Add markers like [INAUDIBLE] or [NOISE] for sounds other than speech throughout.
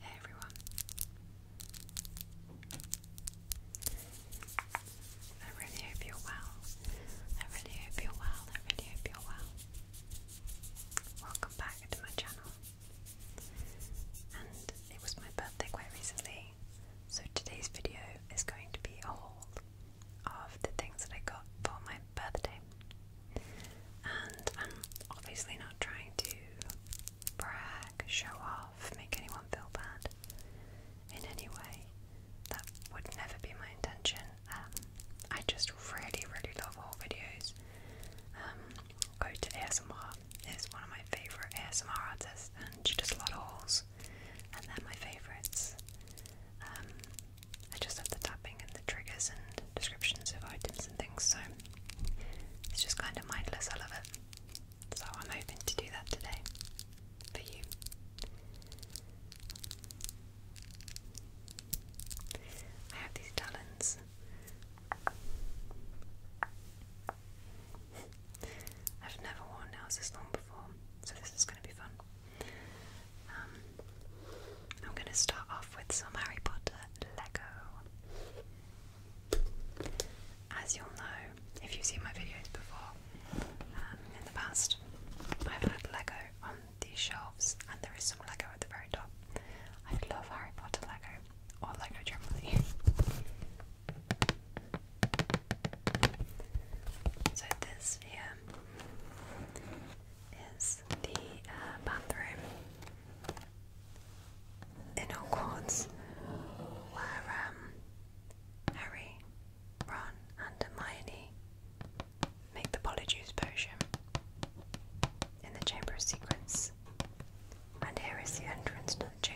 Hey everyone. I really hope you're well. I really hope you're well. I really hope you're well. Welcome back to my channel. And it was my birthday quite recently, so today's video is going to be a haul of the things that I got for my birthday. And I'm obviously not trying to brag, show off, make anyone feel bad in any way. That would never be my intention. Um, I just really, really love all videos. Um, go to ASMR is one of my favourite ASMR artists, and she does a lot of hauls, and they're my favourites. Um, I just have the tapping and the triggers and descriptions of items and things, so it's just kind of mindless. I love it. So I'm hoping to do that today for you. I have these talons. I've never worn nails this long before, so this is going to be fun. Um, I'm going to start off with some Harry Potter Lego. As you'll know, if you've seen my videos before um, in the past, I've had Lego on these shelves, and there is some Lego at the very top. I love Harry Potter Lego, or Lego generally. [LAUGHS] so this here is the uh, bathroom in Hogwarts where um, Harry, Ron, and Hermione make the Polyjuice potion in the Chamber of Secrets. And here is the entrance to the chamber.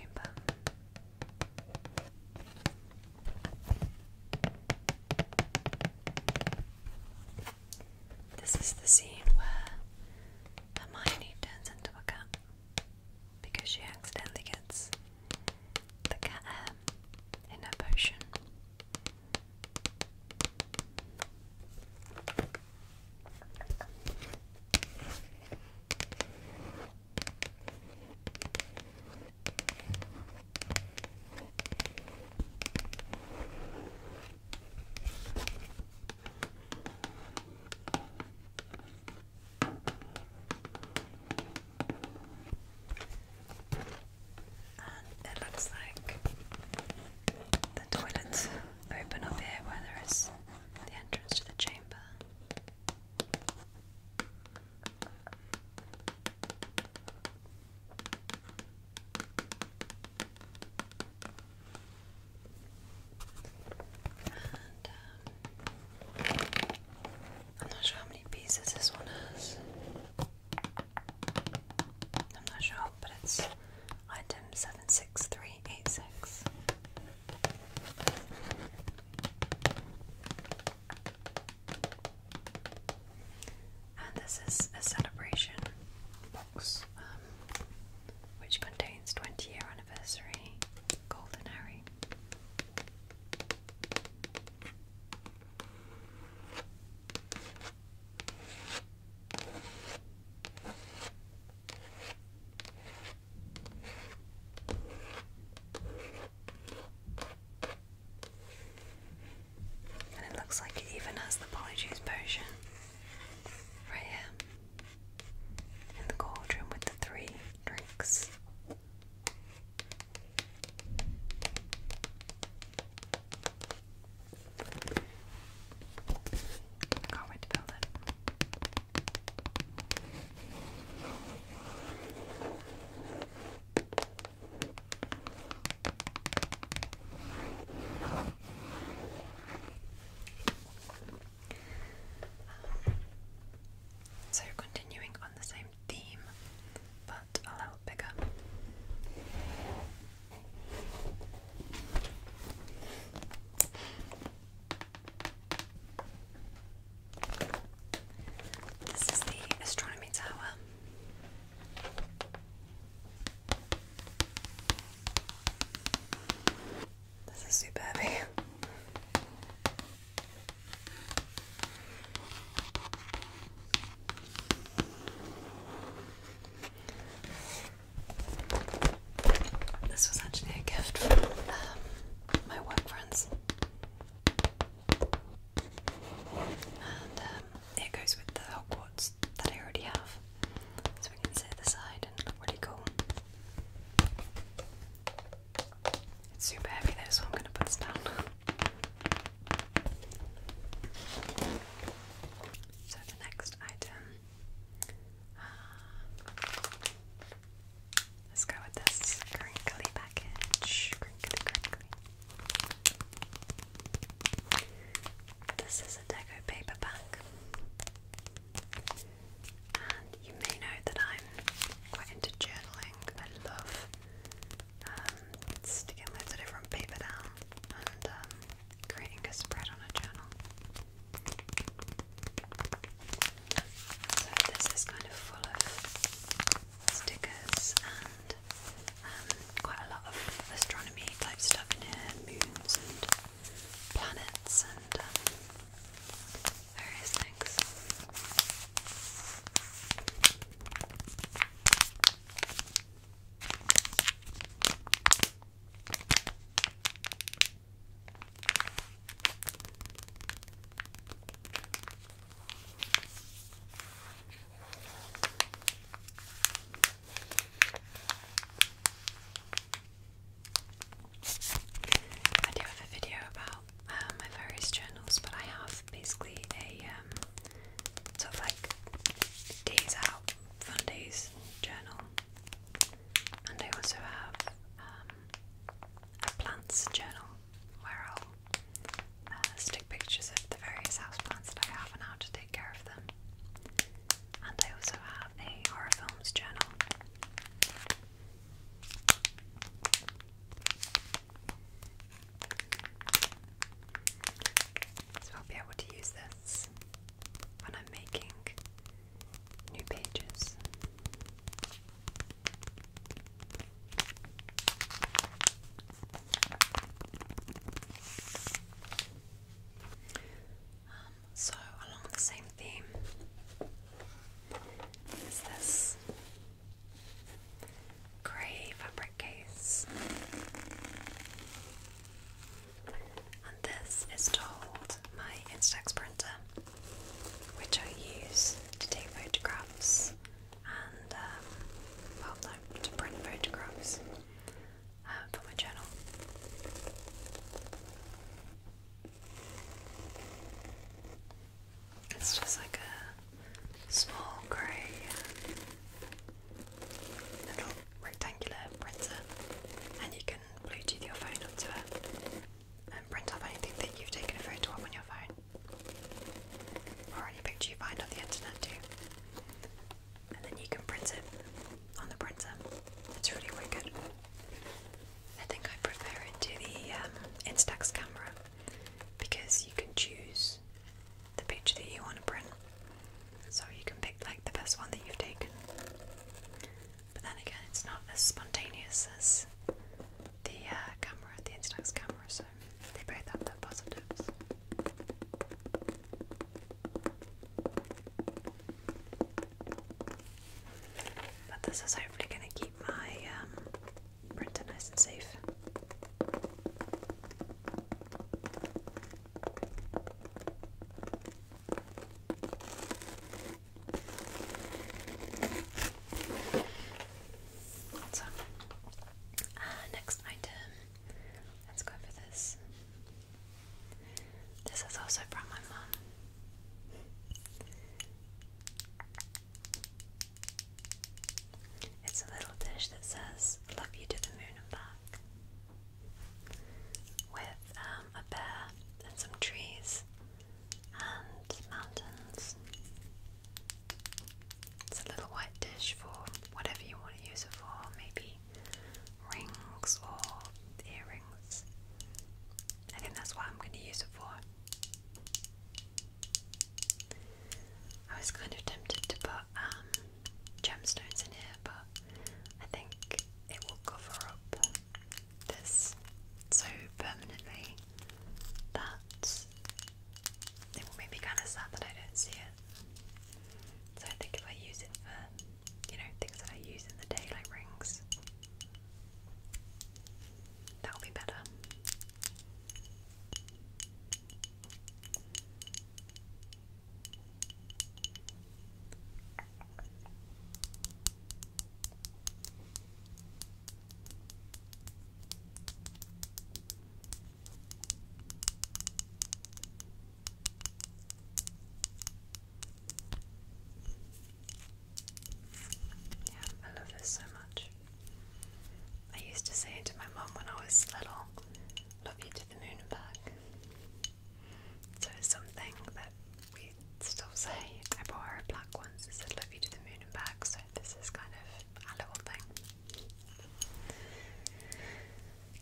This is the scene where Hermione turns into a cat because she accidentally gets the cat um, in her potion it looks like the toilets open up here where there is the entrance to the chamber. Um, I'm not sure how many pieces this one has. I'm not sure, but it's item 76386. And this is a celebration box um, which contains 20 year anniversary Golden and it looks like it even has the Polyjuice potion right here in the cauldron with the three drinks. can't wait to build it so, continuing on the same theme, but a little bigger. This is the astronomy tower. This is super heavy. This was actually a gift from um, my work friends. Um, it goes with the Hogwarts that I already have. So we can set it aside and look really cool. It's super heavy though, so I'm going to put this down. So the next item. Uh, let's go with this crinkly package. Crinkly, crinkly. This is a deco paperback, you may know that I'm quite into journaling. I love um, sticking loads of different paper down and um, creating a spread on a journal. So this is kind of full of stickers and um, quite a lot of astronomy type stuff in here, moons and planets and um, various things. I do have a video about uh, my various journals, but I have basically a um, sort of like days out, fun days journal, and I also have um, a plants journal where i uh, stick pictures of the various houseplants that I have and how to take care of them. And I also have a horror films journal. So I'll be able to use this when I'm making new pages. Um, so, along the same theme is this grey fabric case, and this is to hold my Instax printer, which I use to take photographs and um, well, no, to print photographs uh, for my channel. It's just like a small grey um, little rectangular printer, and you can Bluetooth your phone onto it and print off anything that you've taken a photo of on your phone. Or any picture you find on the internet too. And then you can print it on the printer. It's really wicked. I think I prefer it to the um, Instax camera because you can choose the picture that you want to print. So you can pick like the best one that you've taken. But then again, it's not as spontaneous as the uh, camera, the Instax camera, they both have their positives. But this is hopefully going to keep my um, printer nice and safe. So, uh, next item. Let's go for this. This is also from my mum. It's a little dish that says, Love you to the moon and back. With um, a bear and some trees and mountains. It's a little white dish for whatever you want to use it for, maybe rings or earrings. I think that's what I'm going to use it for. I was kind of tempted to put um, gemstones in here, but I think it will cover up this so permanently that it will make me kind of sad that I don't see it. So I think if I use it for, you know, things that I use in the day, like rings, that'll be better. Yeah, I love this so much. I used to say to my mom when I was little, love you to the moon and back. So it's something that we still say. I bought her black ones that said love you to the moon and back, so this is kind of a little thing.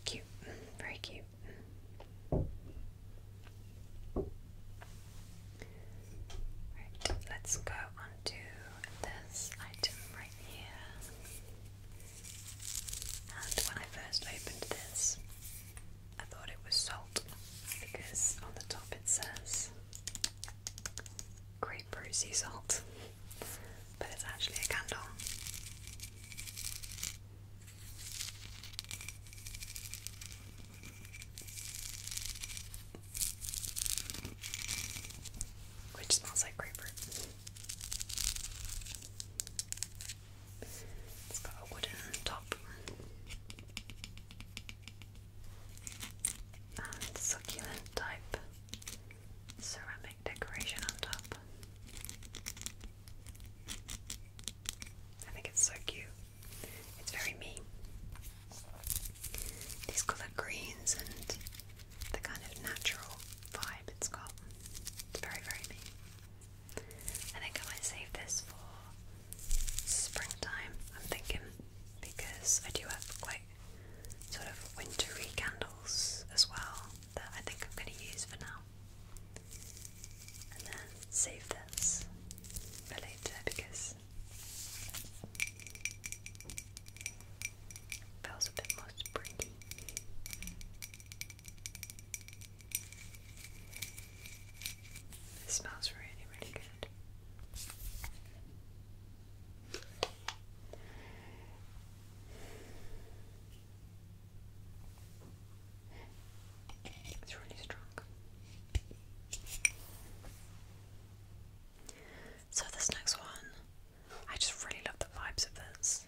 Cute, very cute. Right, let's go on this item right here. And when I first opened this, I thought it was salt because on the top it says grapefruit sea salt, but it's actually a candle. Which smells like grapefruit. It's got a wooden top and succulent type ceramic decoration on top. I think it's so cute. It's very me. These colour greens and the kind of natural vibe it's got. It's very, very me. I think I might save this for springtime, I'm thinking, because I do have quite sort of wintry candles as well that I think I'm going to use for now. And then save this for later because it a bit more springy. It smells really, really good. It's really strong. So, this next one, I just really love the vibes of this.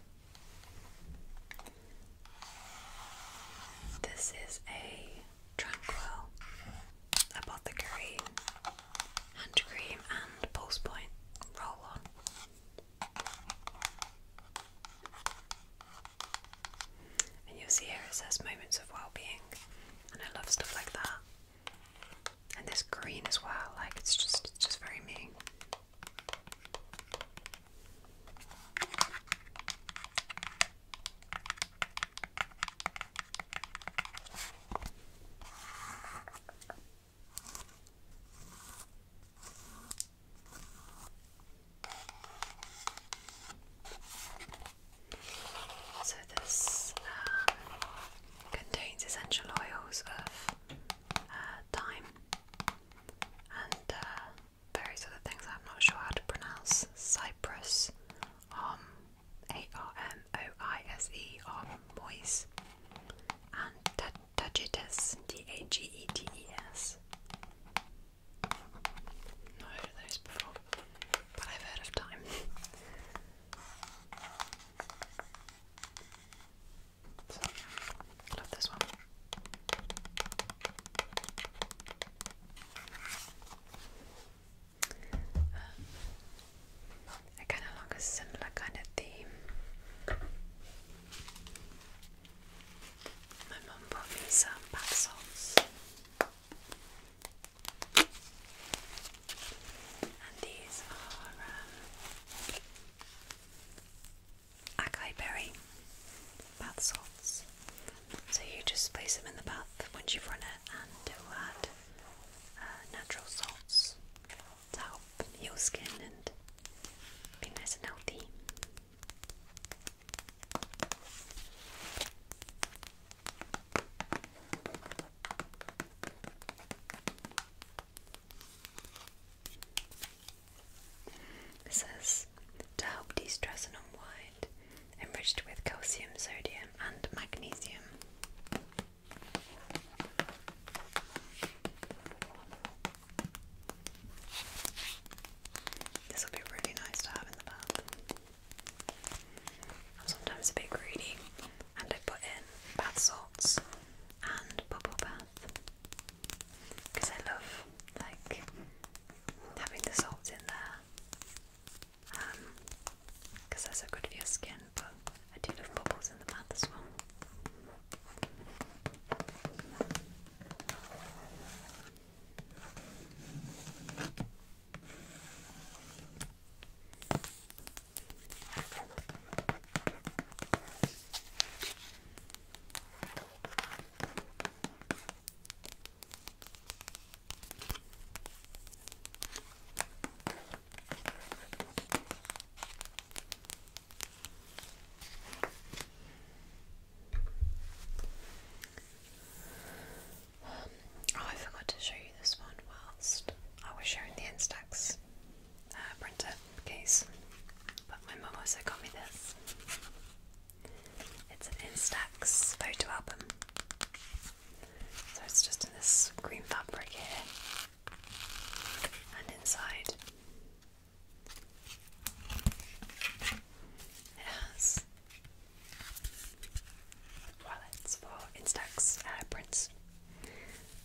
This is a Tranquil Apothecary hand cream and pulse point roll on. And you'll see here it says moments of well-being, and I love stuff like that. And this green as well, like it's just it's just very me. So, this uh, contains essential oils of uh, thyme and uh, various other things I'm not sure how to pronounce. Cypress, um, a-R-M-O-I-S-E or Moise and Tagetes, D-A-G-E-T-E-S. those before, but I've heard of time. love this one again, um, along a similar kind of theme. My mum bought me some bath salts. And these are um, acai berry bath salts. So you just place them in the bath once you've run it and it uh, will uh, natural salts to help your skin and be nice and healthy. This is to help de stress and unwind enriched with calcium, sodium, and magnesium. This will be really nice to have in the bath. I'm a bit greedy and I put in bath salts and bubble bath because I love like having the salts in there because um, that's they so good for your skin, but I do love bubbles in the bath as well. Oh, I forgot to show you this one whilst I was showing the Instax uh, printer case, but my mum also got me this. It's an Instax photo album. So it's just in this green fabric here and inside. It has wallets for Instax prints.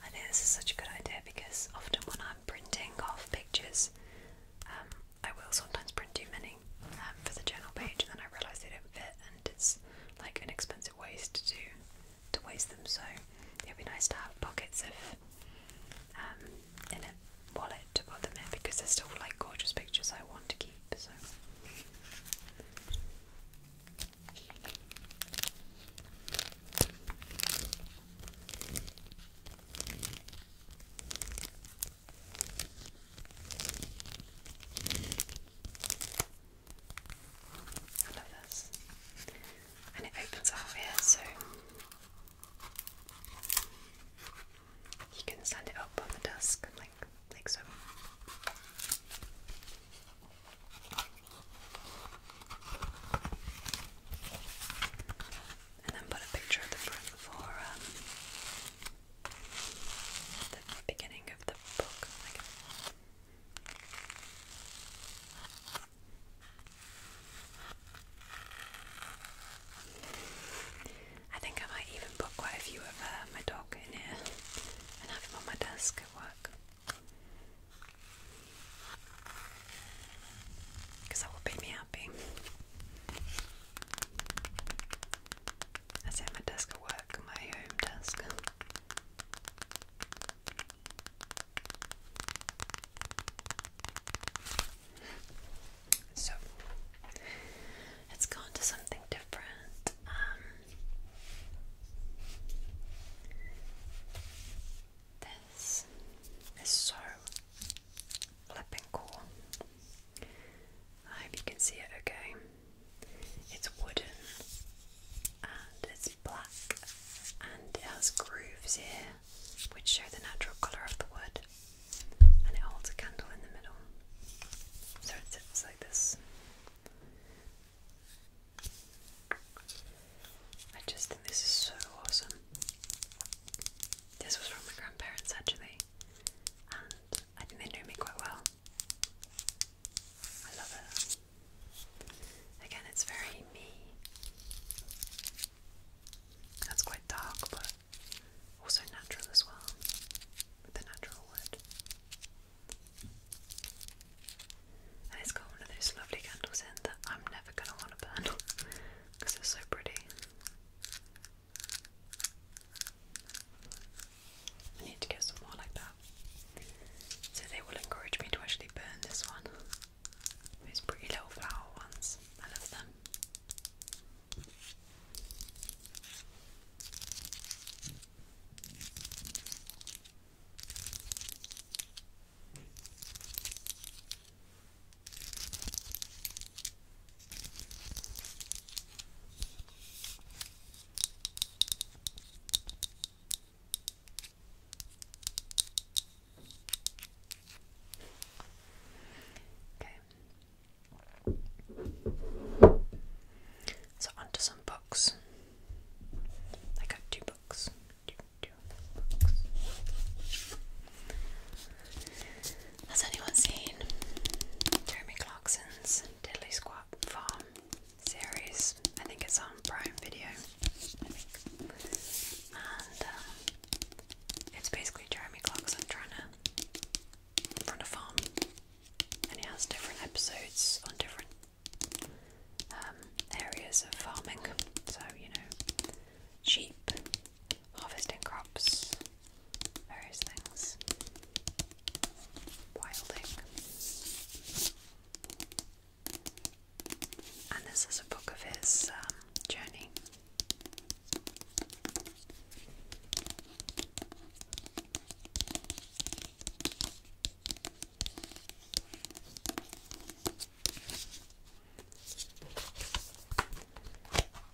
I think this is such a good idea because often when I'm printing off pictures, um, I will sometimes print too many actually um, for the journal page, and then I realised they don't fit, and it's like an expensive waste to to waste them. So it'd be nice to have pockets of um, in a wallet to put them in because they're still like gorgeous pictures I want to keep. So. I love this. And it opens up here so you can stand it up on the desk like like so. And then put a picture of the print for um, the beginning of the book. I think I might even put quite a few of uh, my dog in here and have him on my desk at work. Because that will make me happy. I say my desk at work, my home desk. So let's go to something different. Um, this is so flipping cool. I hope you can see it okay. It's wooden and it's black and it has grooves here which show the natural colour of the wood and it holds a candle in the middle. So it sits like this. I just think this is so awesome. This was from my grandparents actually, and I think they know me quite well. I love it. Again, it's very me. That's quite dark, but also natural as well, with the natural wood. And it's got one of those lovely candles in that I'm never going to want to burn because [LAUGHS] it's so pretty. I need to get some more like that. So they will encourage me to actually burn this one. These pretty little flower ones. I love them. Okay. So onto some books. I got two books. books. Has anyone seen Jeremy Clarkson's Dilly Squad Farm series? I think it's on Prime Video. And uh, it's basically Jeremy Clarkson trying to run a farm. And he has different episodes on different um, areas of farming. So, you know, sheep, harvesting crops, various things. Wilding. And this is a book of his um, journey.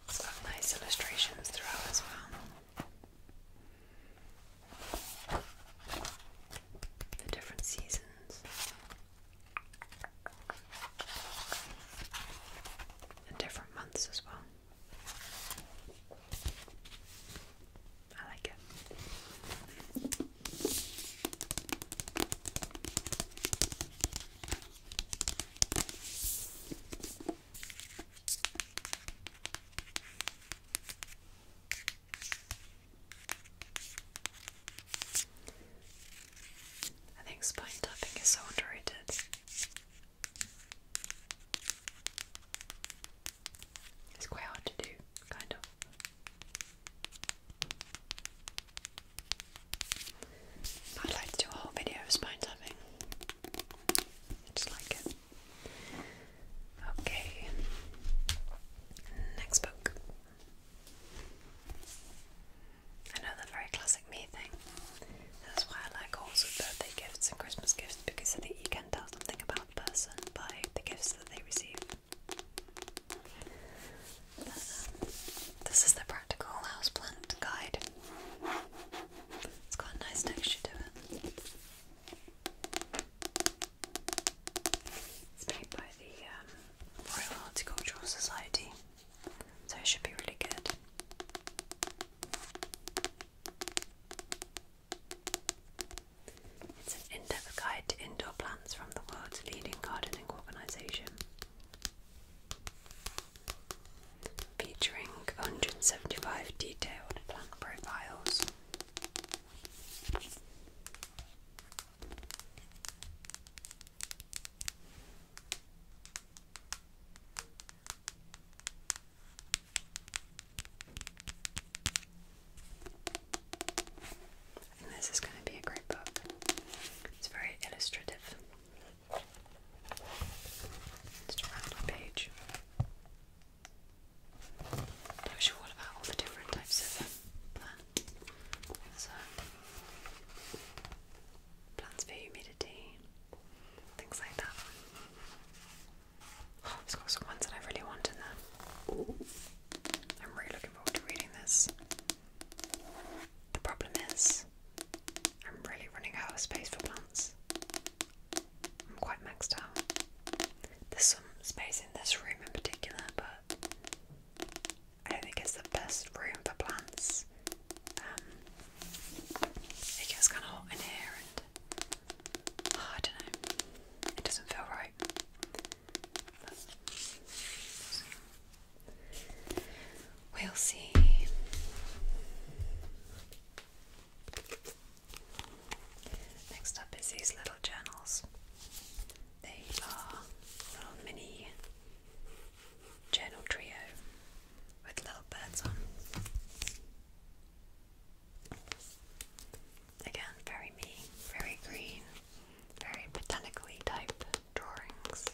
It's got nice illustrations throughout as well the different seasons. And different months as well. I like it. I think spine tapping is so underrated. It's quite hard to do, kind of. I'd like to do a whole video of spine tapping just like it. Okay, next book. Another very classic me thing. That's why I like horses with birthday gifts and Christmas gifts because I think you can tell something about a person by the gifts that they receive. Um, this is the practical houseplant guide. It's got a nice texture to it. It's made by the um, Royal Horticultural Society, so it should be really good. It's an in depth guide to indoor plants from the world's leading gardening organisation featuring 175 detailed plant profiles. this is going to be a great book. It's very illustrative. Just around the page. Tells you all about all the different types of uh, plant. plants for humidity, things like that. it's got some ones that I really want in there. I'm really looking forward to reading this. The problem is, I'm really running out of space for plants. I'm quite maxed out. There's some space in this room in particular, but I don't think it's the best room for plants. Um, it gets kind of hot in here, and ah, I don't know. It doesn't feel right. We'll see. Next up is these little journals. They are little mini journal trio with little birds on. Again, very me, very green, very botanically type drawings.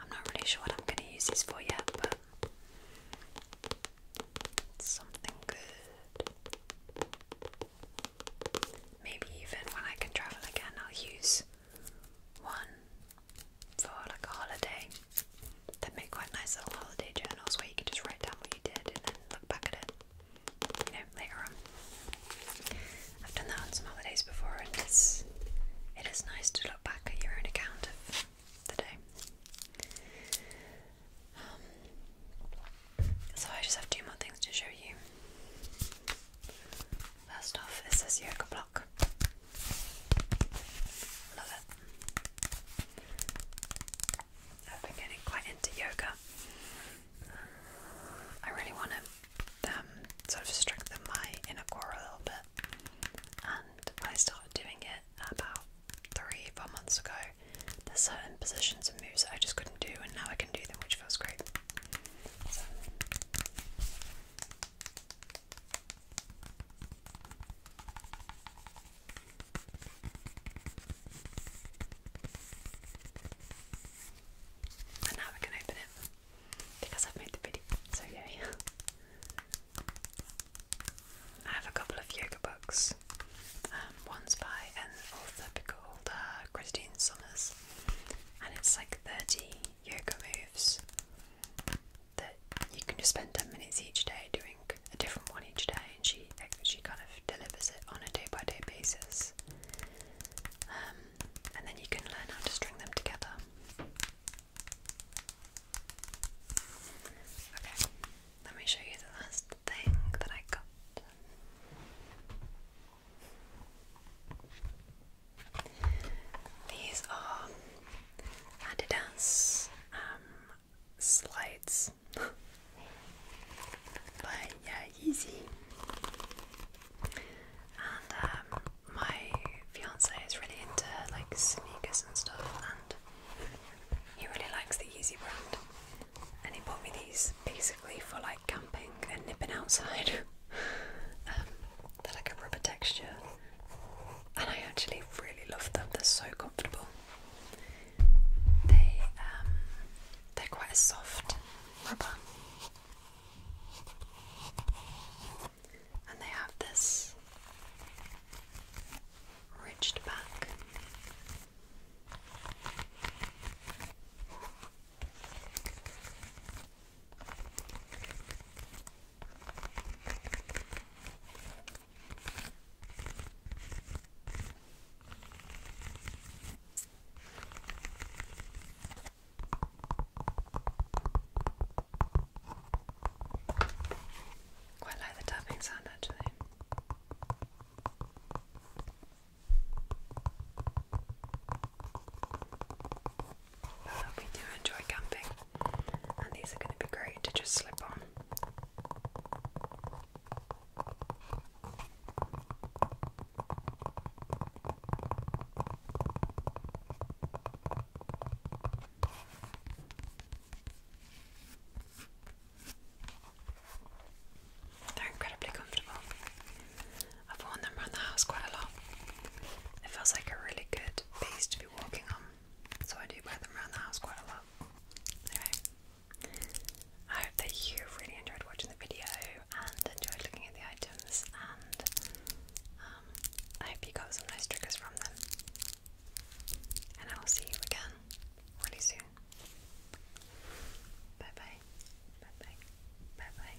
I'm not really sure what I'm going to use these for yet, but something good. Maybe even when I can travel again, I'll use one for like a holiday. They make quite nice little holiday journals where you can just write down what you did and then look back at it, you know, later on. I've done that on some holidays before, and it's it is nice to look back at your own account of the day. Um, so I just have two more things to show you. First off, is this yoga block. Love it. I've been getting quite into yoga. I really want to um, sort of strengthen my inner core a little bit. And I started doing it about three, four months ago. There's certain positions and moves that I just couldn't do, and now I can do them, which feels great now we can open it because I've made the video, so yay. I have a couple of yoga books. Um, one's by an author called uh, Christine Summers, and it's like 30 yoga moves that you can just spend 10 minutes each day doing a different one each day and she she kind of delivers it on a day by day basis um, and then you can learn how to string them together okay let me show you the last thing that I got these are Adidas um, slides [LAUGHS] by Yeezy. And um, my fiance is really into like sneakers and stuff, and he really likes the Yeezy brand. And he bought me these basically for like camping and nipping outside. [LAUGHS] Um, they're like a rubber texture, and I actually really love them. They're so comfortable. They um, they're quite a soft rubber, and they have this ridged back. Quite like the tapping sound actually. I hope we do enjoy camping, and these are going to be great to just slip on. They're incredibly comfortable. I've worn them around the house quite a lot. It feels like a really good base to be walking on, so I do wear them around the house quite a lot. Anyway, I hope that you really enjoyed watching the video and enjoyed looking at the items, and um, I hope you got some nice triggers from them. And I will see you again really soon. Bye bye. Bye bye. Bye bye.